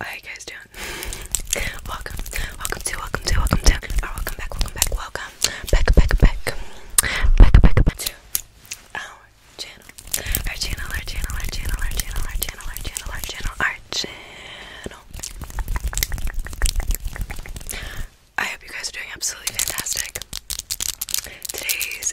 How you guys doing? welcome, welcome to, welcome to, welcome to, or oh, welcome back, welcome back, welcome back, back, back, back, back, back to our channel, our channel, our channel, our channel, our channel, our channel, our channel, our channel. I hope you guys are doing absolutely fantastic. Today's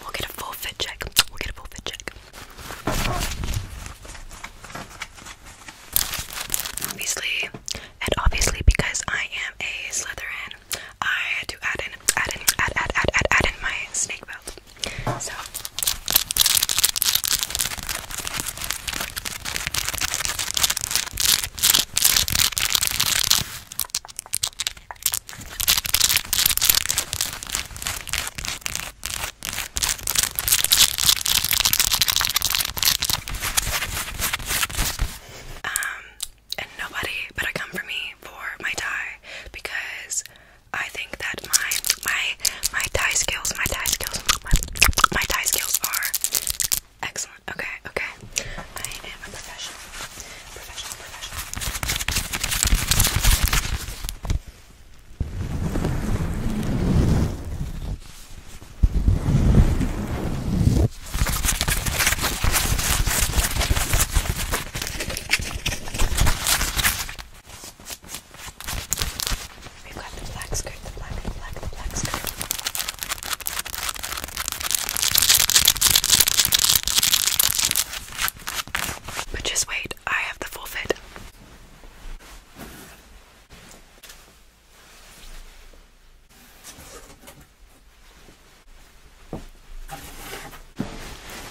We'll get a full fit check. We'll get a full check. Obviously, and obviously because I am a leatherhead, I had to add in, add in, add, add, add, add, add in my snake belt. So. Um, and nobody better come for me for my tie because I think that my my my tie skills, my tie skills, my, tie skills are excellent. Okay, okay. I am a professional. Professional, professional. We've got the black skirt, the black, the black, the black skirt. But just wait, I have the full fit.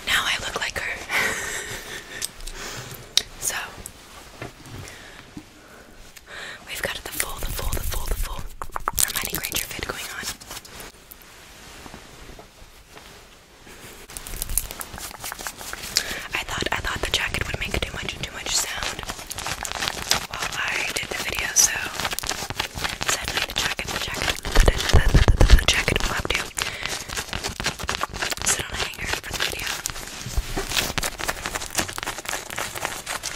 Now I look like her. so we've got the full, the full, the full, the full Hermione Granger fit going on. I thought I thought the jacket would make too much too much sound while I did the video, so sadly the jacket, the jacket, the, jacket will have sit on a hanger for the video.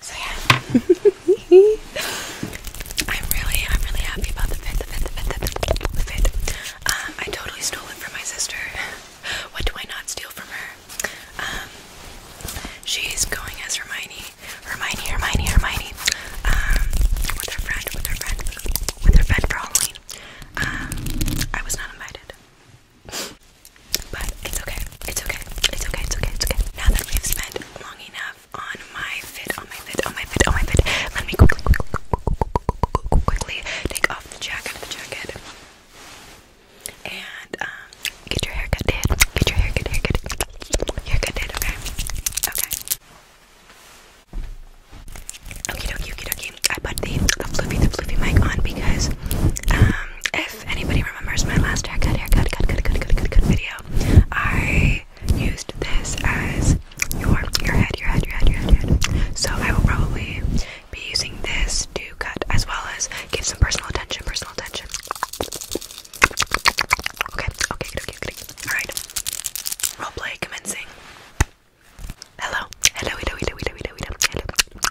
So yeah. I'm really, I'm really happy about the fit, the fit, the fit, the fit, the uh, fit. I totally stole it from my sister. What do I not steal from her? Um, she's going as Hermione, Hermione, Hermione, Hermione. Um, with her friend, with her friend, with her friend for Halloween. Um, I was not invited. But it's okay. It's okay. It's okay. It's okay. It's okay. Now that we've spent long enough on my fit, on my fit, on my fit, on my fit, let me quickly, quickly, quickly take off the jacket, the jacket, and um, get your haircut did. Get your haircut, haircut, haircut did. Okay. Okay. Okie dokie, okie dokie. I put the the floofy, the floofy mic on because um if anybody remembers my last haircut, haircut, cut, cut, cut, cut, cut, cut video, I used this as your your head, your head, your head, your head, your head. So I will probably be using this to cut as well as give some personal attention, personal attention. Okay, okay, okay, okay. okay. Alright. Roleplay commencing. Hello. Hello, hello, hello, hello, hello, hello, hello.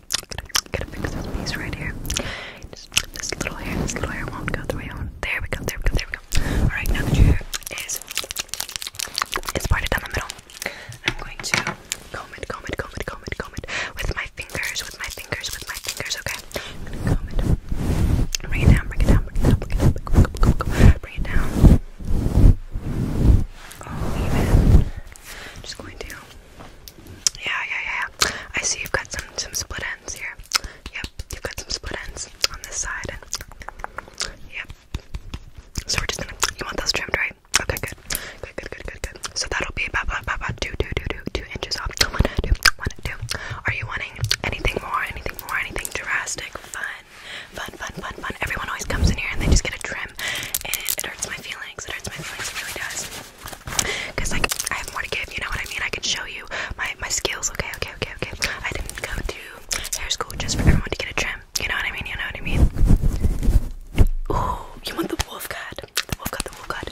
I'm gonna fix this piece right here. this little hair, this little hair won't go the way I There we go, there we go, there we go. Alright, now that your hair is, is parted down the middle, I'm going to comb it, comb it, comb it, comb it, comb it with my fingers, with my fingers, with my fingers, okay? i Bring it down, bring it down, bring it down, bring it down, i just going to. Yeah, yeah, yeah. I see you've got some some split ends here. Yep, you've got some split ends on this side. Yep. So we're just gonna. You want those trimmed, right? Okay, good. Good, good, good, good, good. So that'll be about about about, about two, two, two, two, two inches off. One, two, one, two. Are you wanting anything more? Anything more? Anything drastic? Fun, fun, fun, fun, fun. Everyone always comes in here and they just get a trim and it, hurts my feelings. It hurts my feelings. It really does. Cause like I have more to give. You know what I mean? I can show you my my skills. Okay, okay, okay, okay. I didn't go to hair school just for everyone to get a trim. You know what I mean? You know what I mean? Ooh, you want the wolf cut? The wolf cut. The wolf cut.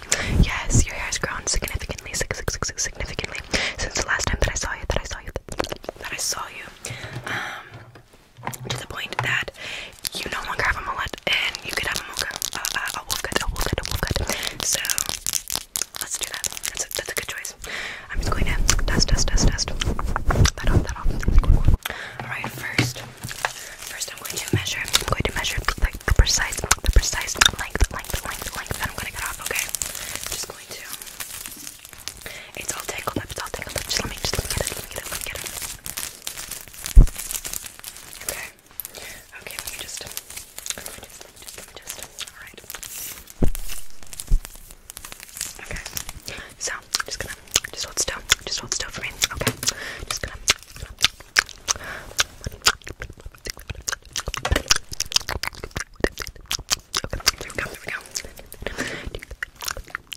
Yes, your hair's grown significantly, significantly since the last time that I saw you. That I saw you. That I saw you. Um, to the point that you no longer have a mullet and you could have a mocha, uh, uh, a wolf cut, a wolf cut, a wolf cut. So let's do that. That's a, that's a good choice. I'm just going to dust, dust, dust, dust that off, that off. All right, first, first I'm going to measure. I'm going to measure like the precise, the precise length, length, length, length that I'm going to cut off. Okay, I'm just going to it's all tangled up, it's all tangled up. Just let me, just let me get it, let me get it, let me get it. Okay. Okay, let me just, just, let me just, Alright. Okay. So, I'm just gonna, just hold still, just hold still for me. Okay. Just gonna, here we go, here we go. Okay,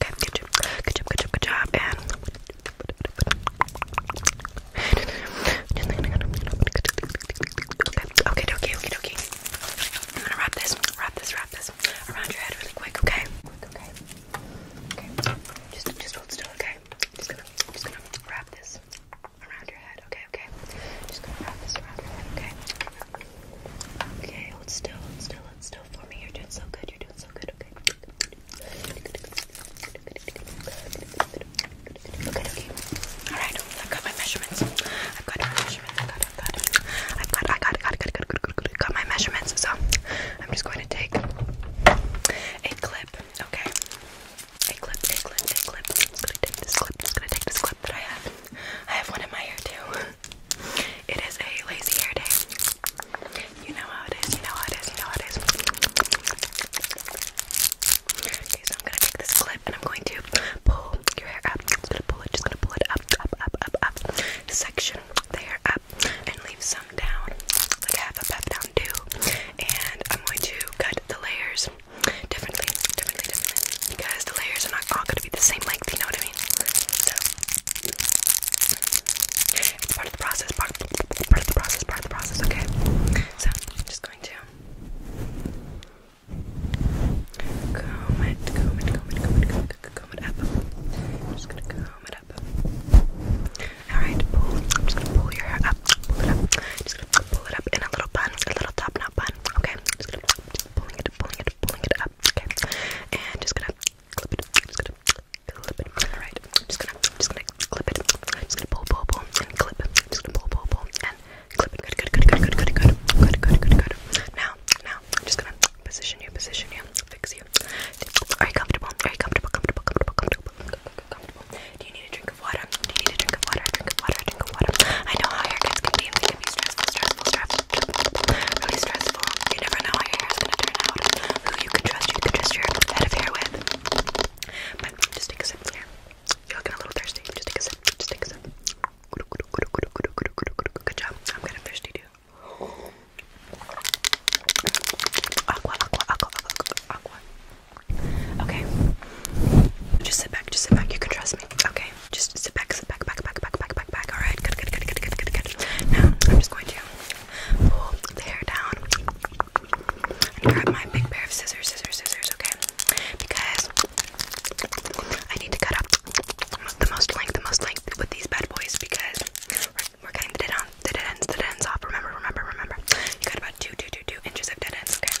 good job, good job, good job, good job, and okay, okay, okay, okay, okay. I'm gonna wrap this, wrap this, wrap this around your head really quick, okay? Quick, okay. Okay. Just just hold still, okay? Just gonna just gonna wrap this around your head, okay, okay? Just gonna wrap this around your head, okay? Okay, hold still, hold still, hold still for me. You're doing so good. You're doing so good. Okay. Alright, i got my measurements. i got my measurements. I've got, I've got, i got, I I got, got, got, got, my measurements. So I'm just going to take a clip. Okay. A clip, a clip, a clip. I'm just gonna take this clip. I'm just gonna take this clip that I have. I have one in my hair too. It is a lazy hair day. You know how it is, you know how it is, you know how it is. Okay, so I'm gonna take this clip and I'm going to pull your hair up. Just gonna pull it, just gonna pull it up, up, up, up, up. Section the hair up and leave some down, like half a pep down too. And I'm going to cut the layers differently, differently, because the layers are not all going to be the same length. You know what I mean? So part of the process. Part, of the process. Part of the process. Okay. So I'm just going to comb it, comb it, comb it, comb it, comb it, up. I'm just gonna comb it up. Alright, pull. just pull your hair up, pull it up. just gonna pull it up in a little bun, a little top knot bun. Okay, just gonna pulling it, pulling it, pulling it up, okay, and just gonna clip it, just gonna clip it, alright, just gonna, just gonna clip it, just gonna pull, pull, pull, and clip, just gonna pull, pull, pull, and clip it, good, good, good, good, good, good, good, good, good, good, now, now, I'm just gonna position you, position you, fix you, are you comfortable, are you comfortable, comfortable, comfortable, comfortable, comfortable, comfortable, do you need a drink of water, do you need a drink of water, drink of water, drink of water, I know how haircuts can be, can be stressful, stressful, stressful, really stressful. You never know how hair is gonna turn out. Who you can trust, you can trust your head of hair with. But just take a sip here. You're looking a little thirsty. Just take a sip. Just take a sip. Good job. I'm kind thirsty too. Aqua, aqua, aqua, aqua, aqua. Okay. Just sit back. Just sit back. You can trust me. Okay. Just sit back, sit back, back, back, back, back, back, back. All right, good, good, good, good, good, good, good. Now I'm just going to pull the hair down and grab my big pair of scissors, scissors, scissors. Okay, because I need to cut up the most length, the most length with these bad boys because we're, we're cutting the dead, on, the dead ends, the dead ends off. Remember, remember, remember. You got about two, two, two, two inches of dead ends. Okay.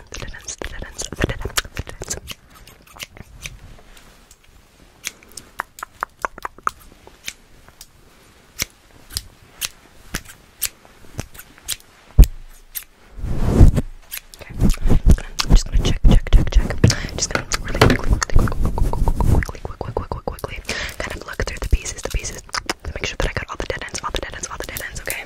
Okay, I'm just gonna check, check, check, check. Just gonna really quickly, quickly, quickly, quickly, quickly, quickly, kind of look through the pieces, the pieces, to make sure that I got all the dead ends, all the dead ends, all the dead ends. Okay.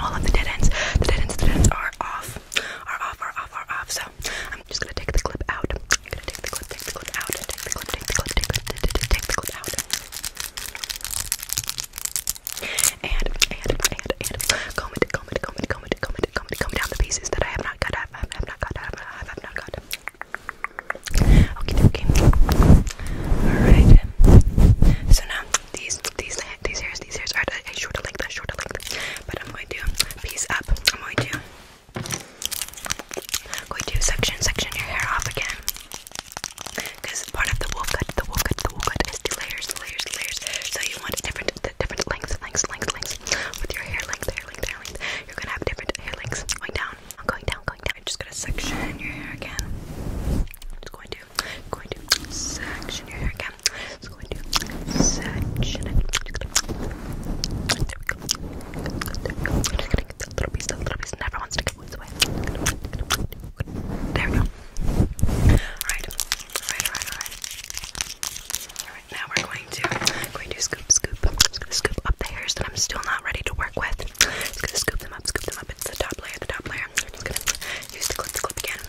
all of the dead ends. The dead ends, the dead ends are off, are off, are off, are off. So I'm just gonna take the clip out. I'm gonna take the clip, take the clip out, take the clip, take the clip, take the clip, take the clip, take the clip out. And and and and comb it, comb it, comb it, comb it, comb it, comb it, comb down the pieces that I have not cut. I have, I have not cut. I have, I have not cut. Okay, okay. All right. So now these these these hairs these hairs are at a shorter length, a shorter length. But I'm going to piece up. I'm going to I'm going to section section your hair off again. Because part of the wolf cut, the wolf cut, the wolf cut is the layers, the layers, the layers. So you want different the different lengths, lengths, lengths, lengths. With your hair length, hair length, hair length. You're gonna have different hair lengths going down. I'm going down, going down. I'm just gonna section your hair again. I'm just going to I'm going to section your hair again. going to section it. There we go. There we go. little piece, little piece never wants to go away. There we go. Alright, alright, alright, alright. now we're going to going to scoop, scoop. scoop up the hairs that I'm still not ready to work with. gonna scoop them up, scoop them up. It's the top layer, the top layer. gonna use the clip, the clip again.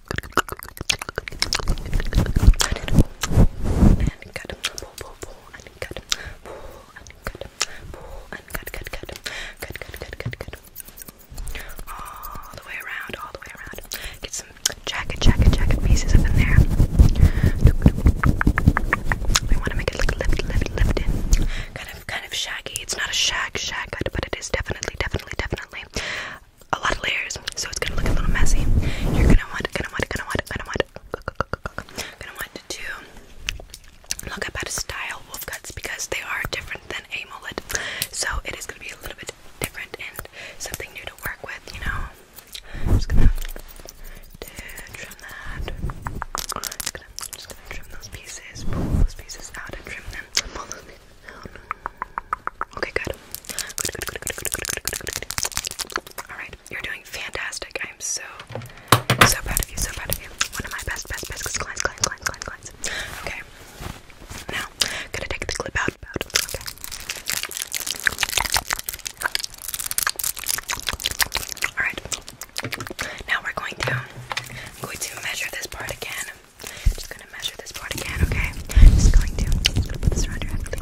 and cut him, pull, pull, pull, and cut him, pull, and cut him, pull, and cut, cut, cut him, cut, cut, cut, All the way around, all the way around. Get some jacket, jacket, jacket pieces up in there. We want to make it look lift, lift, lift Kind of, kind of shaggy. It's not a shag, shag but it is definitely, definitely, definitely a lot of layers, so it's gonna look a little messy. You're gonna want, gonna want, gonna want, gonna want, gonna want to look up how to style wolf cuts because they are different than a mullet. So it is gonna be a little bit different and something new to work with, you know. I'm just gonna trim that. just, gonna, trim those pieces, pull those pieces out and trim them. Pull those Okay, good. Alright, you're doing fantastic. I am so, so proud of you, so proud of you. One of my best, best, best clients, clients, clients, clients, Okay. Now, gonna take the clip out. Okay. Alright. Now we're going to, going to measure this part again. Just gonna measure this part again, okay? Just going to put this around your head. okay.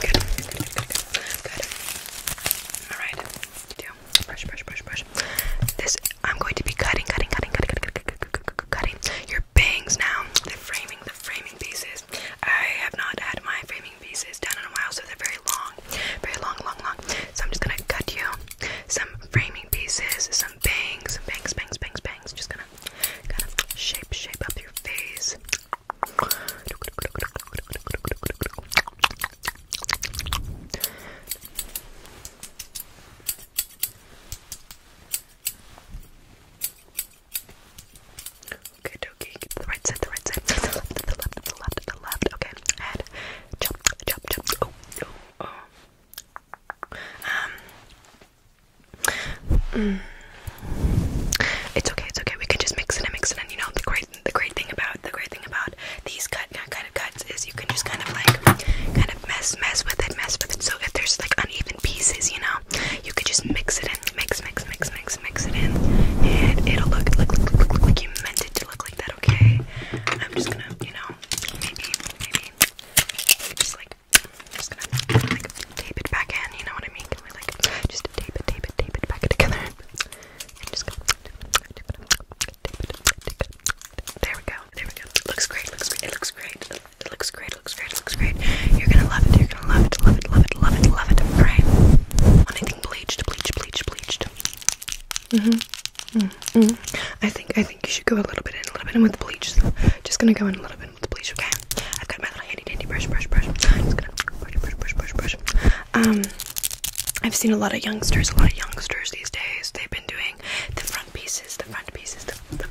good, All right. Do brush, brush, brush, brush. This I'm going to be cutting, cutting, cutting, cutting, cutting, cutting, cutting, cutting, bangs now. The framing, the framing pieces. I have not had my framing pieces done in a while, so they're very long, very long, long, long. So I'm just gonna cut you some framing pieces, some bangs, some bangs, bangs, bangs, bangs. Just gonna kind of shape, shape up your face. Okay, dokie. The right side, the right side. The left, the left, the left, the left. Okay, head. Jump, jump, jump. Oh, oh, oh. Um. Mm. It's okay, it's okay. We can just mix it and mix it, and you know the great, the great thing about the great thing about these cut kind of cuts is you can just kind of like kind of mess, mess with it, mess with it. So if there's like uneven it in pieces, you know? You could just mix it in, mix, mix, mix, mix, mix it in, and it'll look, look, look, look, look like you meant it to look like that, okay? I'm just gonna, you know, maybe, maybe, just like, I'm just gonna, like, tape it back in, you know what I mean? Can we, like, just tape it, tape it, tape it back together? I'm just gonna there we go. There we go. Looks great. Looks great. It looks great. It it looks great, it looks great, it looks great. You're gonna love it, you're gonna love it, love it, love it, love it, love it, right? Want anything bleached, bleached, bleached, bleached. Mm-hmm. Mm -hmm. I think I think you should go a little bit in, a little bit in with the bleach. So just gonna go in a little bit with the bleach, okay? I've got my little handy dandy brush, brush, brush. Just gonna brush, brush, brush, brush, brush. Um I've seen a lot of youngsters, a lot of youngsters these days. They've been doing the front pieces, the front pieces, the the,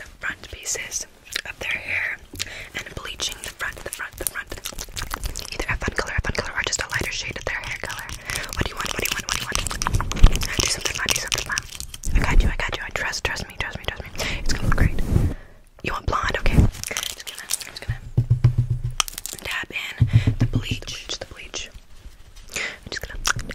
the front pieces of their hair and bleaching the front, the front, the front. Either a fun color, a fun color, or just a lighter shade of their hair color. What do you want? What do you want? What do you want? Do something fun, do something fun. I got you, I got you. I trust, trust me, trust me, trust me. It's gonna look great. You want blonde? Okay. I'm just gonna, I'm just gonna dab in the bleach, the bleach, the bleach. I'm just gonna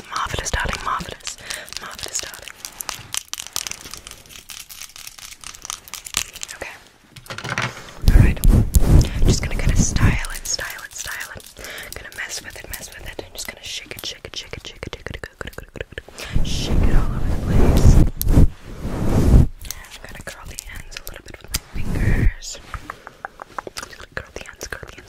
marvelous, darling, marvelous, marvelous, darling. Okay. Alright. just gonna kind of style it, style it, style it. Gonna mess with it, mess with it. just gonna shake it, shake it, shake it, shake it, shake it, shake it, all over the place. gonna curl the ends a little bit with my fingers. curl the ends, curl the ends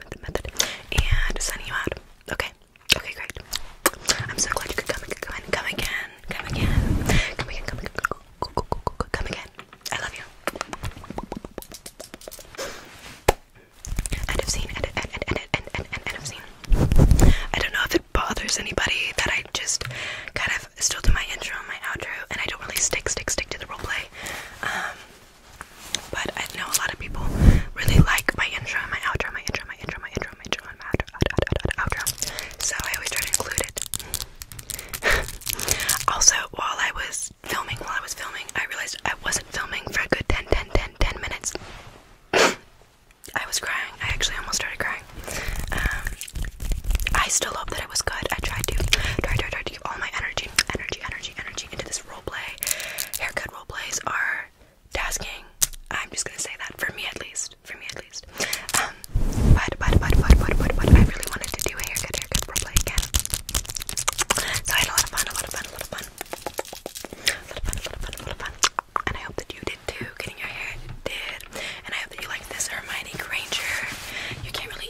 and sending you out. Okay, okay, great. I'm so glad you could come, come, again, come again, come again, come again, come again, come again. I love you. End of scene. End, end, end, end, end, end, end of scene. I don't know if it bothers anybody that I just kind of still do my intro and my outro, and I don't really stick, stick, stick to the roleplay. Um, but I know a lot of people really like my intro, my outro, my intro, my intro, my intro, my intro, my outro, outro, outro, outro. So I always try to include it. also, while I was filming, while I was filming, I realized I wasn't filming for a good 10, 10, 10, minutes. I was crying. I actually almost started crying. Um, I still hope that it was good. I tried to, tried, tried, tried to give all my energy energy, energy, energy, energy into this roleplay. Haircut roleplays are tasking. I'm just gonna say that for me at least. For me at least. Um, but but but but but but but I really wanted to do a haircut, haircut roleplay again. So I had a lot of fun, a lot of fun, a lot of fun. A lot of fun, a lot of fun, a lot of fun. And I hope that you did too, getting your hair did. And I hope that you like this Hermione Granger. You can't really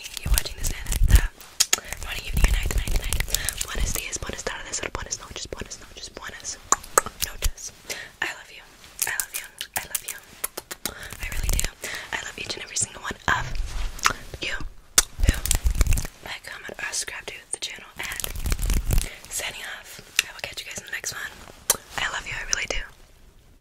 you're watching this and the uh, morning, evening, night, night, night. Buenos dias, buenas tardes, or buenas noches, buenas noches, buenas noches. I love you. I love you. I love you. I really do. I love each and every single one of you like, comment, subscribe to the channel. And signing off. I will catch you guys in the next one. I love you. I really do.